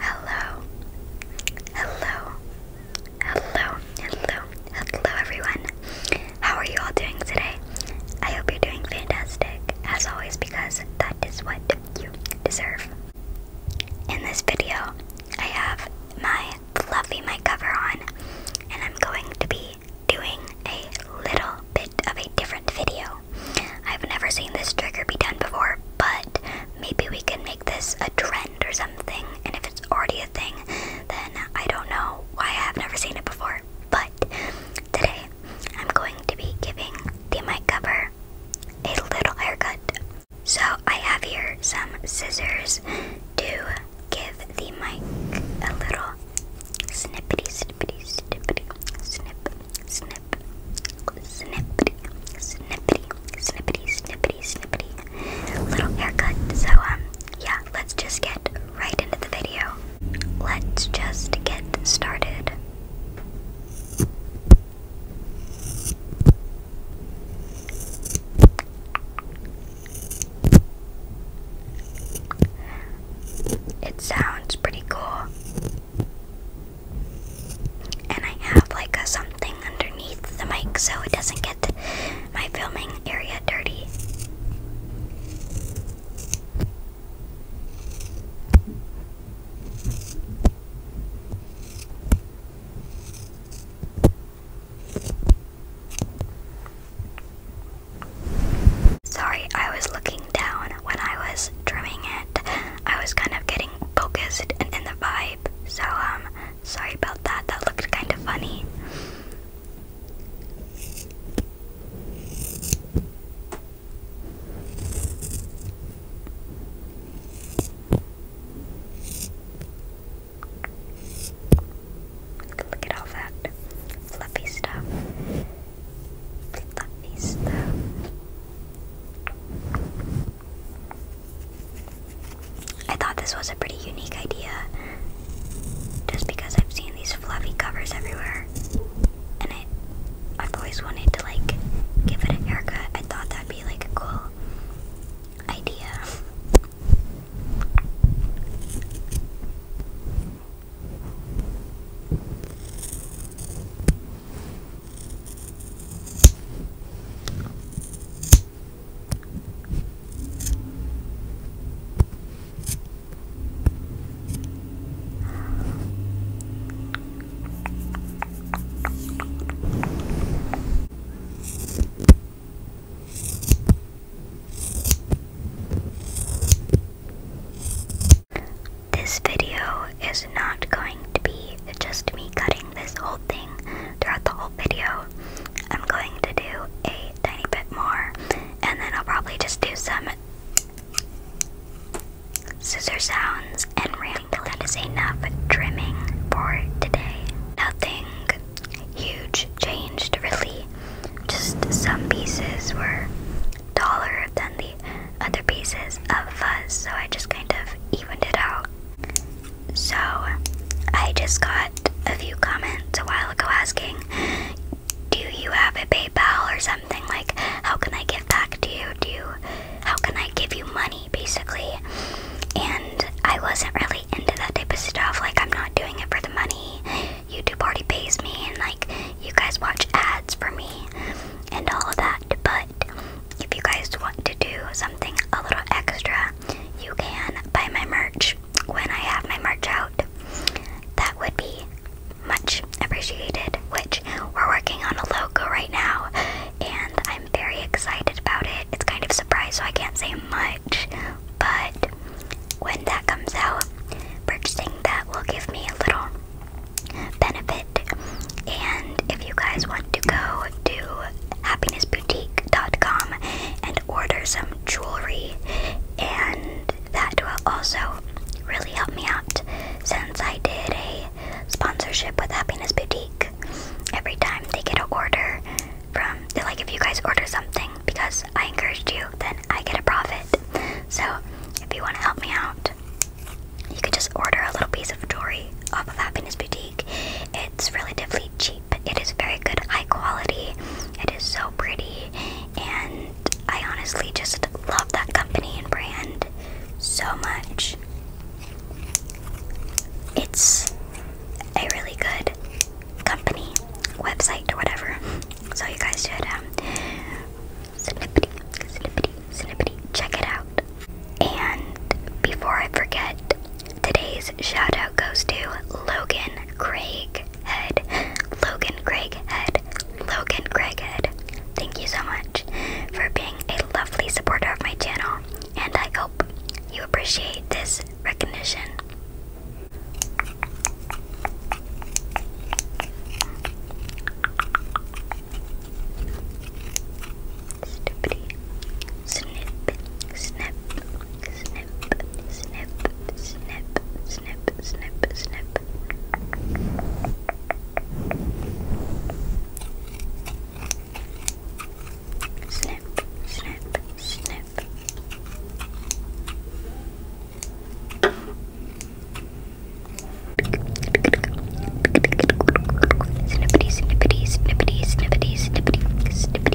Hello, hello, hello, hello, hello, everyone. How are you all doing today? I hope you're doing fantastic, as always, because that is what you deserve. In this video, I have my fluffy mic cover on, and I'm going to be doing a little bit of a different video. I've never seen this trigger be done before, but maybe we can make this a trend or something. And if it's already a thing, then I don't know why I have never seen it before. But today, I'm going to be giving the mic cover a little haircut. So I have here some scissors to give the mic a little snippety, snippety, snippety, snip, snip, snippety, snippety, snippety, snippety, snippety, little haircut. So, um, yeah, let's just get right into the video. Let's just get started. It sounds pretty cool. And I have like a something underneath the mic so it doesn't get my filming area dirty. Sorry, I was looking down when I was drumming it. I was kind of getting focused and in the vibe. So, um, sorry about that. That looked kind of funny. Look at all that fluffy stuff. Fluffy stuff. I thought this was a pretty unique idea just because I've seen these fluffy covers everywhere and I've always wanted to like give it a haircut. I thought that'd be like a cool idea. This video is not going to be just me cutting this whole thing throughout the whole video. I'm going to do a tiny bit more, and then I'll probably just do some Scissor sounds and ramble. is enough trimming for today. Nothing huge changed really. Just some pieces were taller than the other pieces of fuzz, so I just kind of evened it out. So I just got a few comments a while ago asking, do you have a PayPal or something? like, how can I give back to you? Do how can I give you money, basically? And I wasn't really into that type of stuff. Like, I'm not doing it for the money. YouTube already pays me, and like, you guys watch ads for me and all of that. But if you guys want to do something a little extra, you can buy my merch when I have my merch out. That would be much appreciated, which we're working on a logo right now, and I'm very excited about it. It's kind of surprise, so I can't say much, but when that comes out, purchasing that will give me a little benefit. And if you guys want to go to happinessboutique.com and order some jewelry, and that will also really helped me out since I did a sponsorship with Happiness Boutique. Every time they get an order from, like if you guys order something because I encouraged you, then I get a profit. So if you want to help me out, you could just order a little piece of jewelry off of Happiness Boutique. It's relatively cheap. It is very good, high quality. It is so pretty, and I honestly just love that company and brand so much. It's a really good company, website, or whatever. So you guys should um, snippety, snippety, check it out. And before I forget, today's shout out goes to Logan Craig Head. Logan Craig Head. Logan Craig Head. Thank you so much for being a lovely supporter of my channel, and I hope you appreciate this recognition. Snippity, snip, snip, snip, snip, snip, snip, snip, snip, snip. Snip, snip, snip. Snippity, snippity, snippity, snippity, snippity, snippity.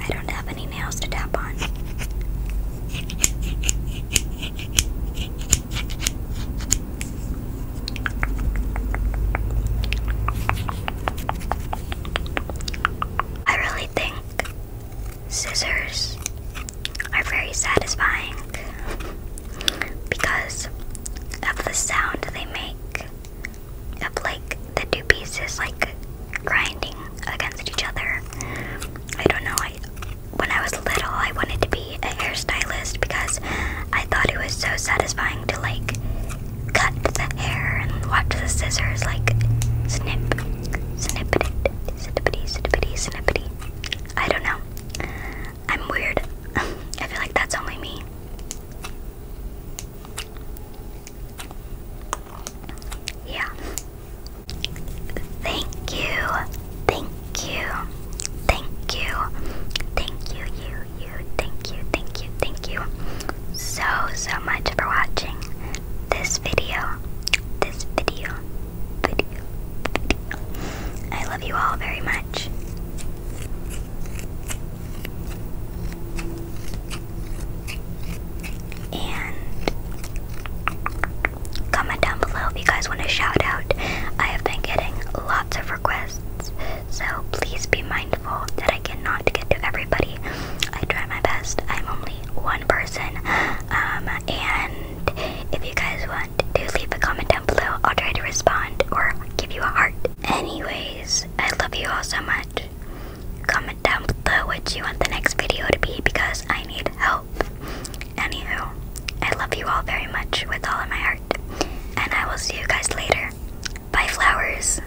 I don't have any nails to tap on. I really think scissors are very satisfying because of the sound they make of like the two pieces like grinding against each other. I don't know, I when I was little I wanted to be a hairstylist because I thought it was so satisfying to like cut the hair and watch the scissors like snip snippity snippity snippity snippity I don't know. I'm weird. I feel like that's only me. Yeah. Thank you. Thank you. Thank you. Thank you, you, you. Thank you, thank you, thank you so, so much for watching this video, this video, video, video. I love you all very much. And comment down below if you guys want a shout out. I have been getting lots of requests, so please be mindful that I cannot get to everybody. I try my best. I'm only one person. Um, and if you guys want to leave a comment down below, I'll try to respond or give you a heart. Anyways, I love you all so much. Comment down below what you want the next video to be because I need help. Anywho, I love you all very much with all of my heart. And I will see you guys later. Bye, flowers.